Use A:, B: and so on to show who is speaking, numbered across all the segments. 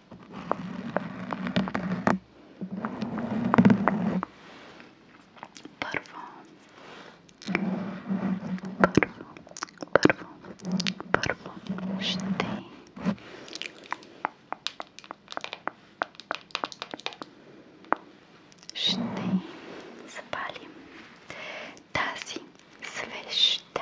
A: Първо, първо, първо, първо ще ще запалим тази свеща.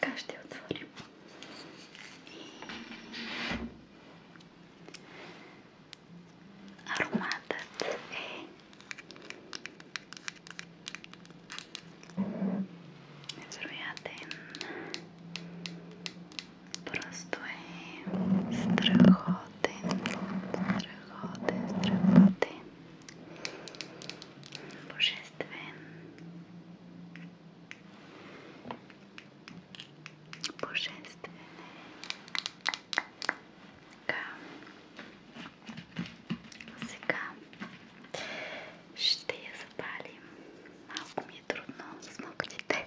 A: Така ще отворим. Ароматът е невероятен. Просто е страхотен страхотен, страхотен, страхотен, божествен, божествен е. така, сега ще я запалим, малко ми е трудно с ногтите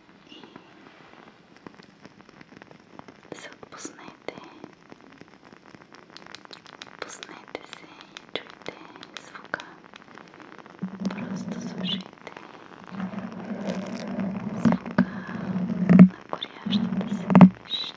A: и се отпуснете. Пуснете се и чуйте звука. Просто слушайте звука на горящата свещ. Горящата свещ.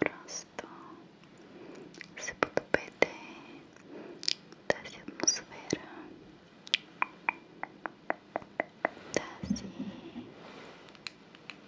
A: Просто се подобете тази атмосфера, тази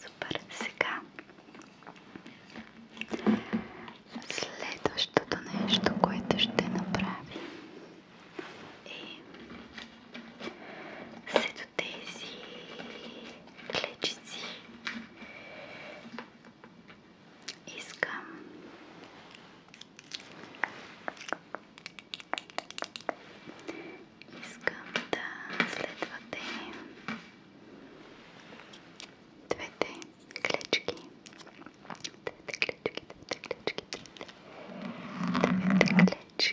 A: Супер, сега следващото нещо, което ще направим е след тези клечици Искам Искам да следвате двете клечки. Двете клечки, двете клечки, двете клечки.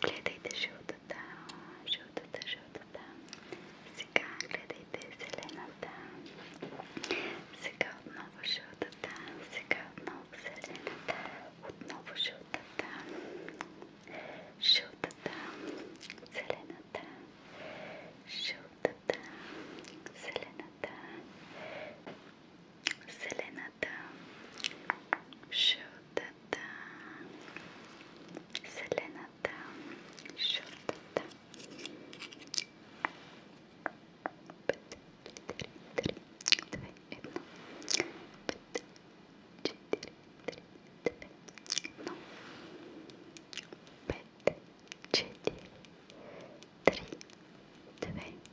A: Гледайте жълтата, жълтата, жълтата. Сега гледайте зелената. Сега отново жълтата, сега отново зелената, отново жълтата, жълтата, зелената, жълтата, зелената, зелената, жълтата, зелената, жълтата. Пет, четири, три, две, едно. Пет, четири, три, две, едно. Пет, четири, три, две,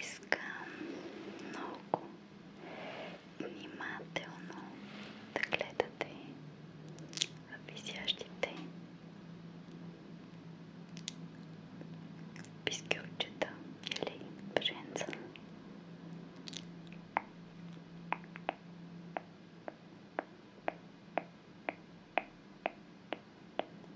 A: Искам много внимателно да гледате висящите пискелчета или бренца.